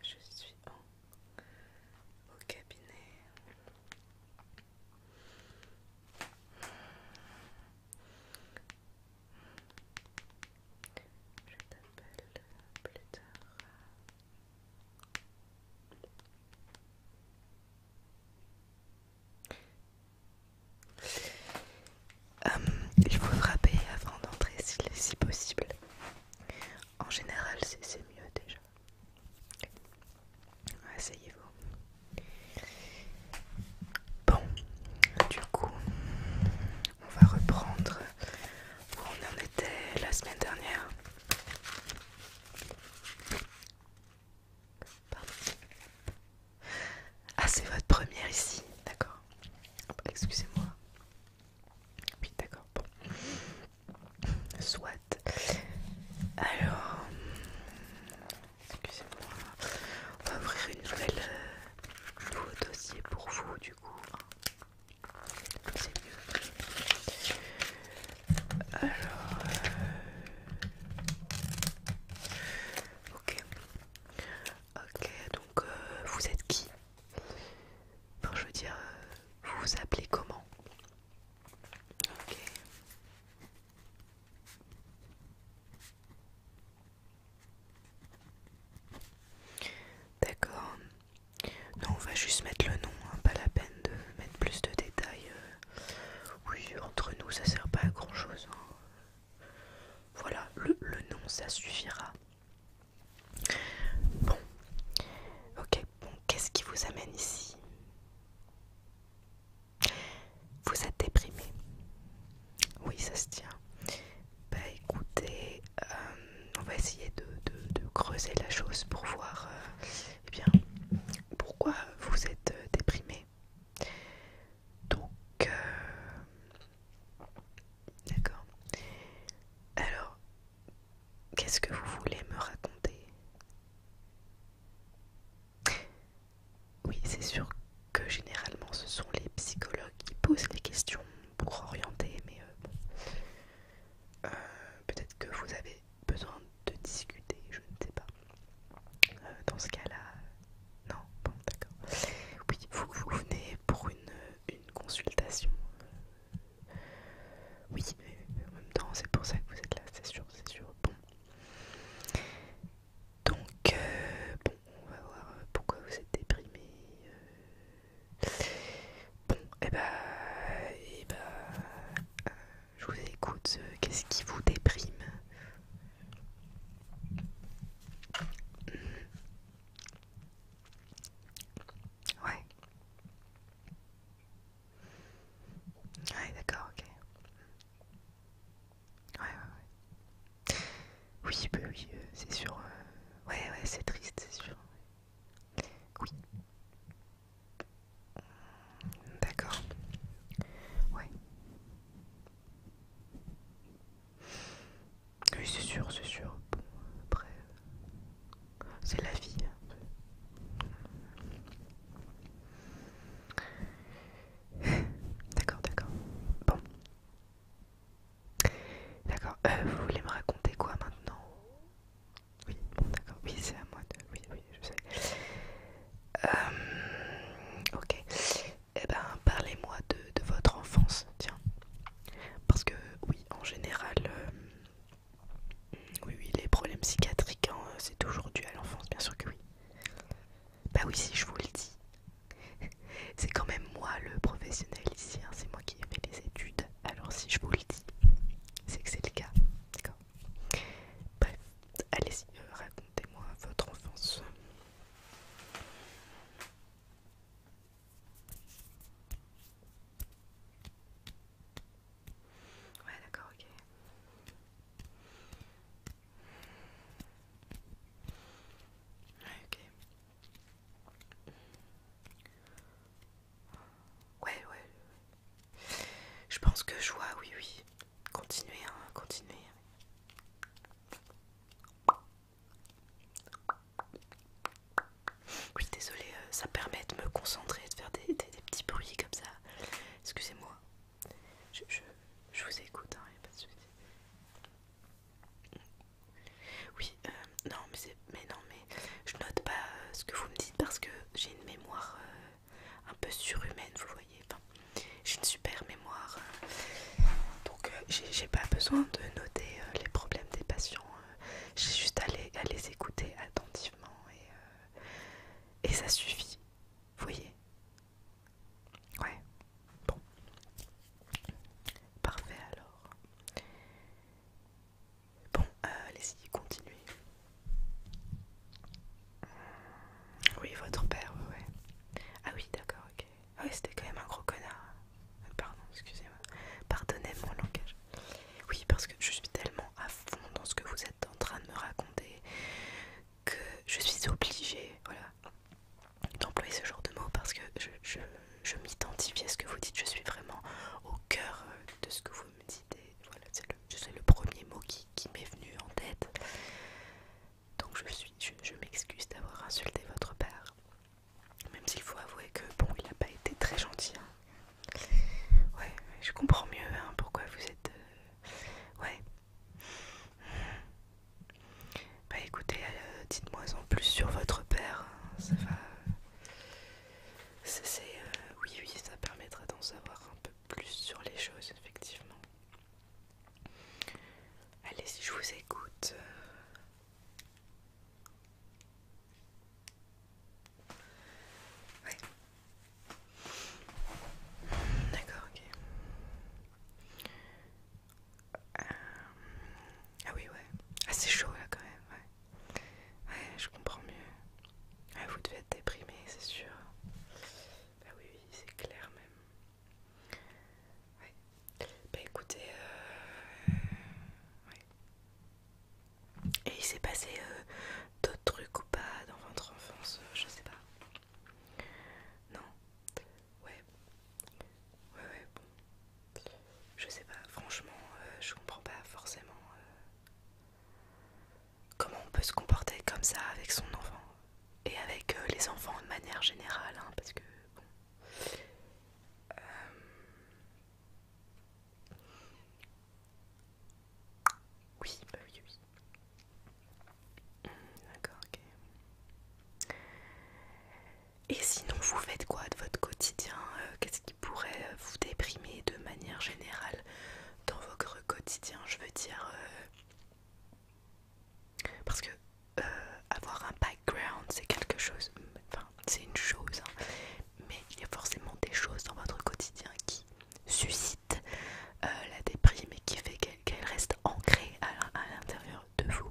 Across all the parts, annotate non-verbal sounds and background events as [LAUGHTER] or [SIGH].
Je suis au cabinet. Je t'appelle plus euh, tard. il faut frapper avant d'entrer si, si possible. En général, c'est mieux déjà. Asseyez-vous. Bon, du coup, on va reprendre où on en était la semaine dernière. Pardon. Ah, c'est votre première ici, d'accord. Excusez-moi. Oui, d'accord. Bon. Soit. Alors, excusez-moi. On va ouvrir une nouvelle euh, nouveau dossier pour vous du coup c'est hein. mieux alors euh, ok ok donc euh, vous êtes qui enfin je veux dire euh, vous vous appelez comment ok D'accord. Non, on va juste mettre le nom, hein. pas la peine de mettre plus de détails. Euh. Oui, entre nous, ça sert pas à grand chose. Hein. Voilà, le, le nom, ça suffira. Bon, ok, bon, qu'est-ce qui vous amène ici Vous êtes déprimé Oui, ça se tient. Bah écoutez, euh, on va essayer de, creuser la chose pour voir euh, eh bien, pourquoi vous êtes euh, déprimé. Donc, d'accord. Alors, qu'est-ce que vous voulez me raconter Oui, c'est sûr que généralement ce sont les psychologues qui posent les questions pour orienter, mais euh, euh, Peut-être que vous avez besoin de discuter, je ne sais pas. Euh, dans ce cas-là, non, bon, d'accord. Oui, vous, venez pour une, une consultation. Oui, mais en même temps, c'est pour ça que vous êtes là, c'est sûr, c'est sûr. Bon. Donc, on va voir euh, pourquoi vous êtes déprimé. Euh. Bon, et bah, et bah, je vous écoute. Euh, qu'est-ce qui vous déprime hmm. Ouais. Ouais, d'accord, ok. Ouais, ouais, ouais. Oui, bah oui, euh, c'est sûr. Euh, ouais, ouais, c'est triste, c'est sûr. Oui. D'accord. Ouais. Oui, c'est sûr, c'est sûr. Bon, après, c'est la vie. D'accord, d'accord. Bon. D'accord, euh, vous voulez me raconter quoi maintenant Oui, d'accord, oui c'est à moi de... Oui, oui, je sais. Euh, ok, et eh ben parlez-moi de, votre enfance, tiens. Parce que oui, en général, euh, oui, oui, les problèmes psychiatriques, hein, c'est toujours dû à l'enfance, bien sûr que oui. Bah oui, si je vous le dis, [LAUGHS] C'est quand même moi le professionnel ici, hein, c'est moi qui ai fait les études. Alors si je vous le dis, c'est que c'est le cas. D'accord Bref, allez-y, euh, racontez-moi votre enfance. Ouais, d'accord, ok. ok. Ouais, ouais. Je pense que je vois, oui, oui. Continuez, hein, continuez. Oui, désolé, euh, ça permet de me concentrer, de faire des, des, petits bruits comme ça. Excusez-moi. Je, je, vous écoute, hein, n'y a pas de soucis. Oui, euh, non, mais Mais non, mais je note pas euh, ce que vous me dites parce que j'ai une mémoire euh, un peu surhumaine, vous voyez. j'ai une super mémoire. donc, j'ai pas besoin de noter les problèmes des patients. j'ai juste à les, écouter attentivement et ça suffit. Vous voyez Ouais, bon. Parfait alors. Bon, euh, allez-y, continuez. Oui, votre père, ouais, Ah oui, d'accord, ok. Ah oui, c'était quand même un gros connard. Euh, pardon, excusez-moi. Pardonnez mon langage. Oui, parce que je suis tellement à fond dans ce que vous êtes en train de me raconter que je suis obligée, voilà, d'employer ce genre de mots parce que je, je, je m'identifie à ce que vous dites, je suis vraiment au cœur euh, de ce que vous me dites voilà, c'est le, premier mot qui, qui m'est venu en tête. Donc je, suis, je, m'excuse d'avoir insulté votre père, même s'il faut avouer que bon, il n'a pas été très gentil. Hein. Ouais, je comprends mieux hein, pourquoi vous êtes... Euh, ouais. Bah écoutez, euh, dites-moi en plus sur votre père. Hein, ça va. C'est. Euh, oui, oui, ça permettra d'en savoir un peu plus sur les choses, effectivement. Allez, si je vous écoute. Euh. Ouais. D'accord, ok. Euh, ah oui, ouais. assez ah, c'est chaud là quand même, ouais. je comprends mieux. vous devez être déprimé, c'est sûr. Bah oui, oui, c'est clair même. Bah écoutez, euh, euh, Et il s'est passé d'autres trucs ou pas dans votre enfance, je sais pas. Non, Ouais, ouais, ouais, bon. Je sais pas, franchement, euh, je comprends pas forcément euh, comment on peut se comporter comme ça avec son enfant et avec euh, les enfants de manière générale, hein, parce que bon. Oui, bah oui, oui. Et sinon, vous faites quoi de votre quotidien euh, Qu'est-ce qui pourrait euh, vous déprimer de manière générale dans votre quotidien Je veux dire... Euh, parce que avoir un background, c'est quelque chose... Enfin, c'est une chose. Hein, mais il y a forcément des choses dans votre quotidien qui suscitent la déprime et qui fait qu'elle reste ancrée à l'intérieur de vous.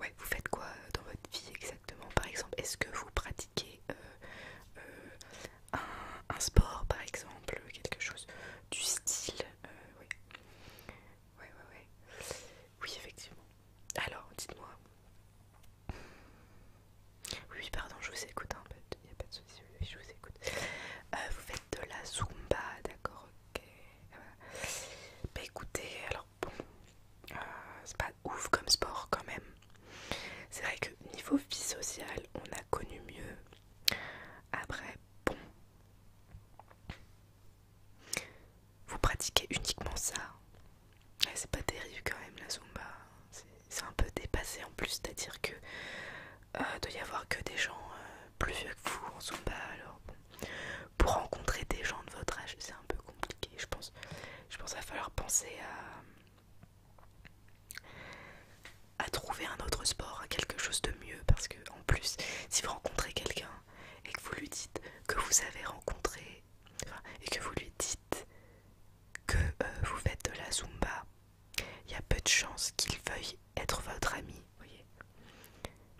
Ouais, vous faites quoi euh, dans votre vie exactement Par exemple, est-ce que vous pratiquez euh, euh, un, sport, par exemple, quelque chose du style Oui, ouais, Oui, effectivement. Alors, dites-moi, oui, pardon, je vous écoute, il hein, n'y a pas de souci, je vous écoute. Euh, vous faites de la Zumba, d'accord, ok. Euh, bah, écoutez, alors bon, euh, c'est pas ouf comme sport quand même. C'est vrai que niveau vie sociale, on a connu mieux. Après, bon. Vous pratiquez uniquement ça c'est pas terrible quand même la Zumba. C'est un peu dépassé en plus, c'est-à-dire que euh, de y avoir que des gens euh, plus vieux que vous en Zumba, alors pour rencontrer des gens de votre âge, c'est un peu compliqué. Je pense, je pense qu'il va falloir penser à à trouver un autre sport, à quelque chose de mieux, parce que en plus, si vous rencontrez quelqu'un et que vous lui dites que vous avez rencontré et que vous lui dites que euh, vous faites de la Zumba, il y a peu de chances qu'il veuille être votre ami. Voyez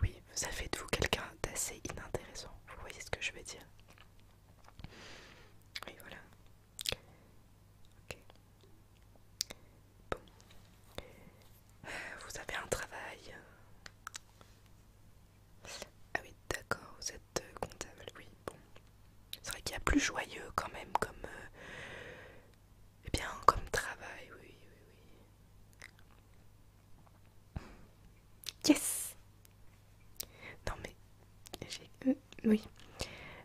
oui, ça fait de vous quelqu'un d'assez inintéressant. Vous voyez ce que je veux dire Oui, voilà. Bon. Euh, vous avez un travail. Ah oui, d'accord, vous êtes comptable, oui, bon. C'est vrai qu'il y a plus joyeux quand même comme... et euh, eh bien, comme travail, oui, oui, oui. Yes Non mais... J'ai... Euh, oui.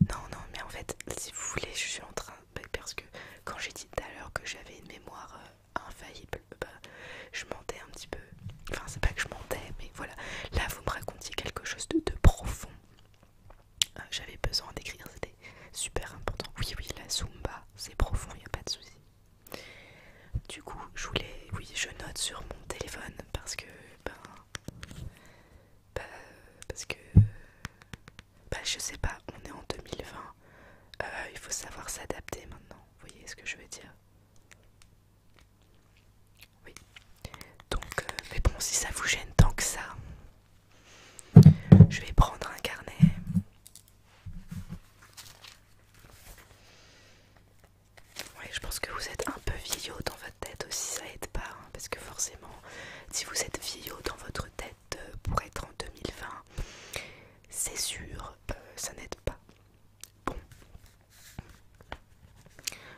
Non, non, mais en fait, si vous voulez, je suis en train... Bah, parce que quand j'ai dit tout à l'heure que j'avais une mémoire euh, infaillible, bah, je mentais un petit peu. Enfin, c'est pas que je mentais, voilà, là vous me racontiez quelque chose de, profond. Euh, j'avais besoin d'écrire, c'était super important. Oui, oui, la Zumba, c'est profond, il n'y a pas de souci. Du coup, je voulais, oui, je note sur mon téléphone parce que, ben, bah parce que, Bah je sais pas, on est en 2020, euh, il faut savoir s'adapter maintenant. Vous voyez ce que je veux dire oui. Donc, euh, mais bon, si ça vous gêne tant que ça, je vais prendre un carnet. Oui, je pense que vous êtes un peu vieillot dans votre tête aussi, ça aide pas, hein, parce que forcément, si vous êtes vieillot dans votre tête euh, pour être en 2020, c'est sûr, euh, ça n'aide pas. Bon,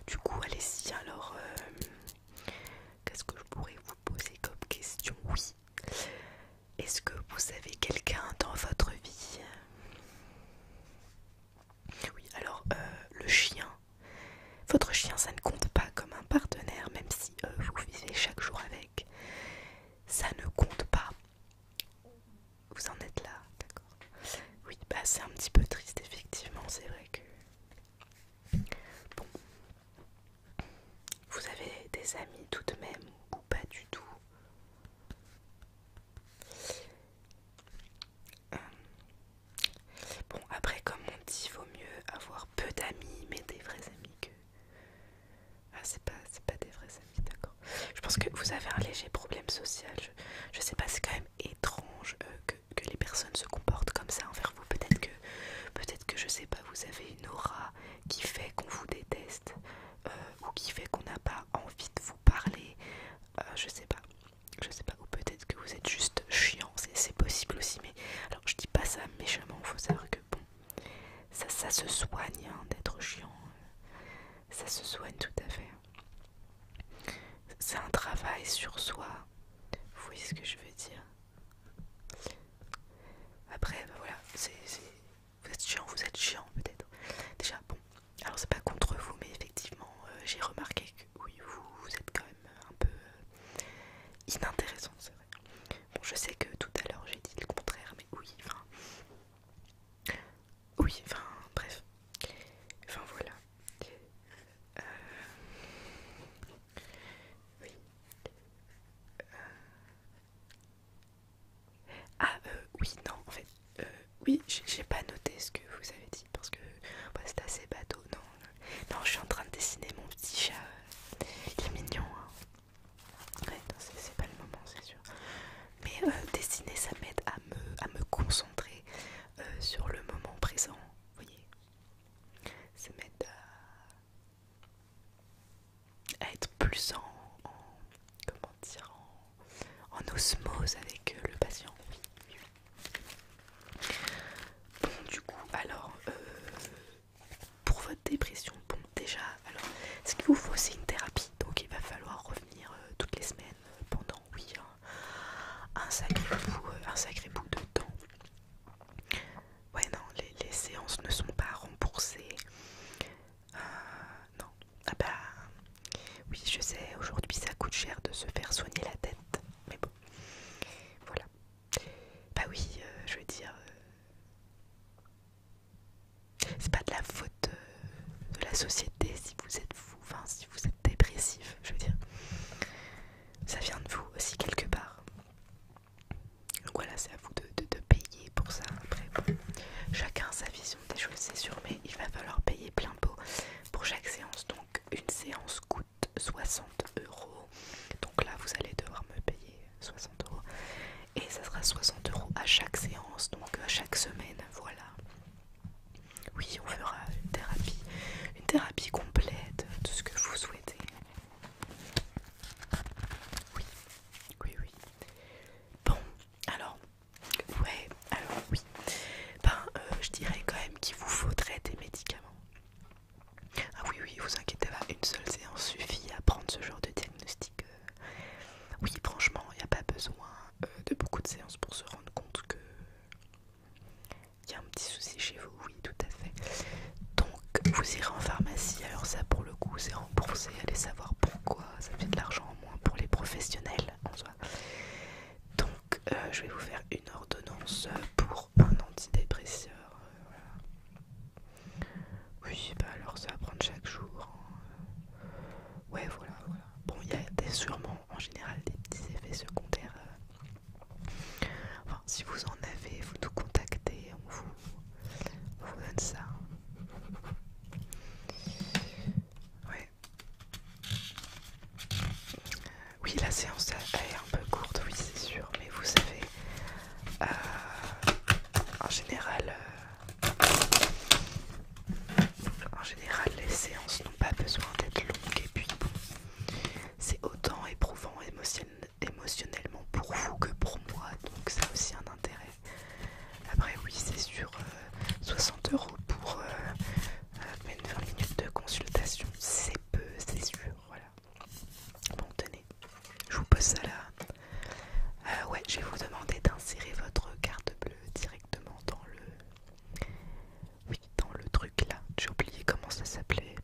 du coup, allez-y. Alors, euh, qu'est-ce que je pourrais vous poser comme question Oui. Est-ce que vous avez quelqu'un dans votre vie Oui, alors, euh, le chien. Votre chien, ça ne compte pas comme un partenaire, même si euh, vous vivez chaque jour avec. Ça ne compte pas. Vous en êtes là, d'accord. Oui, bah c'est un petit peu triste, effectivement, c'est vrai que... Bon. Vous avez des amis tout de même ou pas du tout euh, Bon, après, comme on dit, vaut mieux avoir peu d'amis, mais des vrais amis que... Ah, c'est pas, pas des vrais amis, d'accord. Je pense que vous avez un léger problème social. Je, je sais pas, c'est quand même étrange euh, que, les personnes se comportent comme ça envers vous. Peut-être que, peut-être que je sais pas, vous avez une aura qui fait qu'on vous déteste euh, ou qui fait qu'on n'a pas envie de vous parler. Euh, je sais pas, je sais pas. Ou peut-être que vous êtes juste chiant. C'est possible aussi. Mais alors, je dis pas ça méchamment. Faut savoir que bon, ça, ça se soigne hein, d'être chiant ça se soigne tout à fait. C'est un travail sur soi. Vous voyez ce que je veux dire Après, ben voilà, c'est vous êtes chiant, vous êtes chiant peut-être. Déjà, bon, alors c'est pas contre vous, mais effectivement, euh, j'ai remarqué que oui, vous, êtes quand même un peu euh, inintéressant, c'est vrai. Bon, je sais que tout à l'heure j'ai dit le contraire, mais oui, enfin. Oui, enfin, bref. Enfin, voilà. Euh, oui. Euh, ah, euh, oui, non, en fait, euh, oui, j'ai pas noté ce que vous avez dit parce que bah, c'est assez bateau. Non, euh, non, je suis en train de dessiner mon petit chat. Il est mignon, hein. Ouais, c'est pas le moment, c'est sûr mais euh, dessiner ça m'aide à me, à me concentrer euh, sur le moment présent, vous voyez. Ça m'aide à, être plus en, comment dire, en, en osmose avec euh, le patient. Bon du coup alors pour votre dépression, bon déjà alors ce qu'il vous faut c'est une thérapie donc il va falloir revenir toutes les semaines pendant oui, hein. un sacré bout, euh, un sacré de temps. Ouais, non, les, séances ne sont pas remboursées. Euh, non, ah bah oui, je sais, aujourd'hui ça coûte cher de se faire soigner la tête, mais bon, voilà. Bah oui, euh, je veux dire, c'est pas de la faute de la société, si vous êtes fou, enfin si vous êtes dépressif, je veux dire. Ça vient de vous aussi quelque part. Donc voilà, c'est à vous de, payer pour ça. Après, chacun sa vision des choses, c'est sûr, mais il va falloir payer plein pot pour chaque séance. Donc une séance coûte 60 euros. Donc là, vous allez devoir me payer 60 euros. Et ça sera 60 euros à chaque séance, donc à chaque semaine, voilà. Oui, on fera une thérapie, une thérapie complète de ce que vous souhaitez. Oui, oui, oui. Bon, alors, ouais, alors oui. Ben, euh, je dirais quand même qu'il vous faudrait des médicaments. Ah oui, oui, vous inquiétez pas, une seule séance suffit à prendre ce genre de diagnostic. Euh. oui, franchement, il n'y a pas besoin euh, de beaucoup de séances pour se rendre compte que il y a un petit souci chez vous, oui, tout à fait. Donc, vous irez en pharmacie. Alors, ça, pour le coup, c'est remboursé. Allez savoir pourquoi. Ça fait de l'argent en moins pour les professionnels en soi. Donc, euh, je vais vous faire une ordonnance pour un antidépresseur. Euh, oui, bah alors, ça va prendre chaque jour. Hein. Ouais, voilà, voilà bon, il y a sûrement en général des petits effets secondaires. Euh. enfin, si vous en avez, vous nous contactez, on vous, donne ça. Oui, la séance est un peu courte, oui, c'est sûr, mais vous savez, euh, en général, euh, en général, les séances n'ont pas besoin d'être longues et puis c'est autant éprouvant émotionnellement pour vous que pour moi, donc ça a aussi un intérêt. Après, oui, c'est sûr, 60 euh, euros pour 20 euh, euh, minutes de consultation, c'est peu, c'est sûr, voilà. Bon, tenez, je vous pose ça là. ouais, je vais vous demander d'insérer votre carte bleue directement dans le... Oui, dans le truc là. J'ai oublié comment ça s'appelait,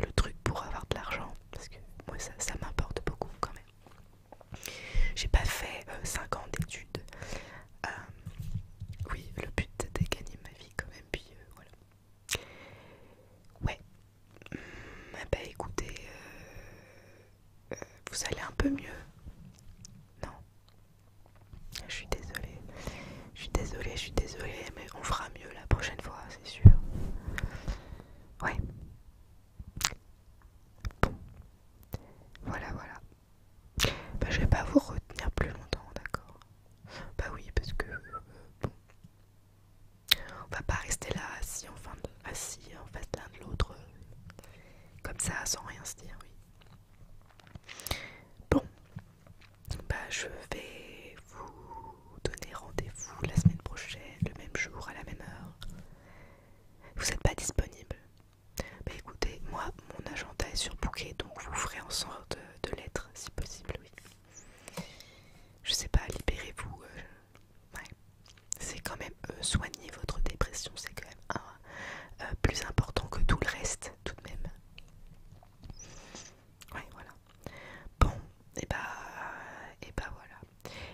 Le truc pour avoir de l'argent, parce que moi ça, m'importe beaucoup quand même. J'ai pas fait 5 euh, ans d'études. Euh, oui, le but c'était gagner ma vie quand même, puis euh, voilà. Ouais. Hum, bah écoutez, vous allez un peu mieux. Non. Je suis désolée. Je suis désolée, je suis désolée, mais on fera mieux la prochaine fois, c'est sûr. Ouais. Bon. Voilà, voilà. Bah, je vais pas vous retenir plus longtemps, d'accord Bah oui, parce que... Euh, on va pas rester là assis en, assis en face l'un de l'autre comme ça sans rien se dire, oui. Bon, bah je vais vous donner rendez-vous la semaine prochaine, le même jour, à la même heure. Vous n'êtes pas disponible Bah écoutez, moi mon agenda est surbooké, donc vous ferez en sorte de, l'être si possible, oui. Je sais pas, libérez-vous. Euh, c'est quand même euh, soigner votre dépression, c'est quand même un, euh, plus important que tout le reste, tout de même. Oui, voilà. Bon, et eh bah, et eh bah voilà.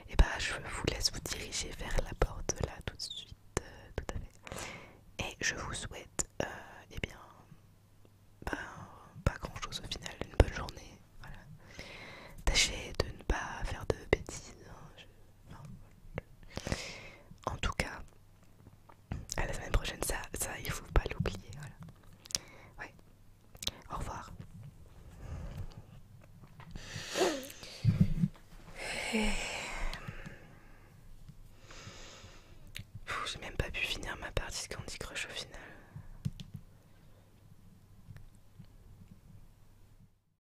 Et eh bah, je vous laisse vous diriger vers la porte là tout de suite, euh, tout à fait. Et je vous souhaite, et bien, ben, pas grand chose au final, une bonne journée. Voilà. Tâchez de ne pas faire de bêtises. Hein, en tout cas, à la semaine prochaine, ça, ça il faut pas l'oublier. Au revoir. je J'ai même pas pu finir ma partie de Candy Crush au final.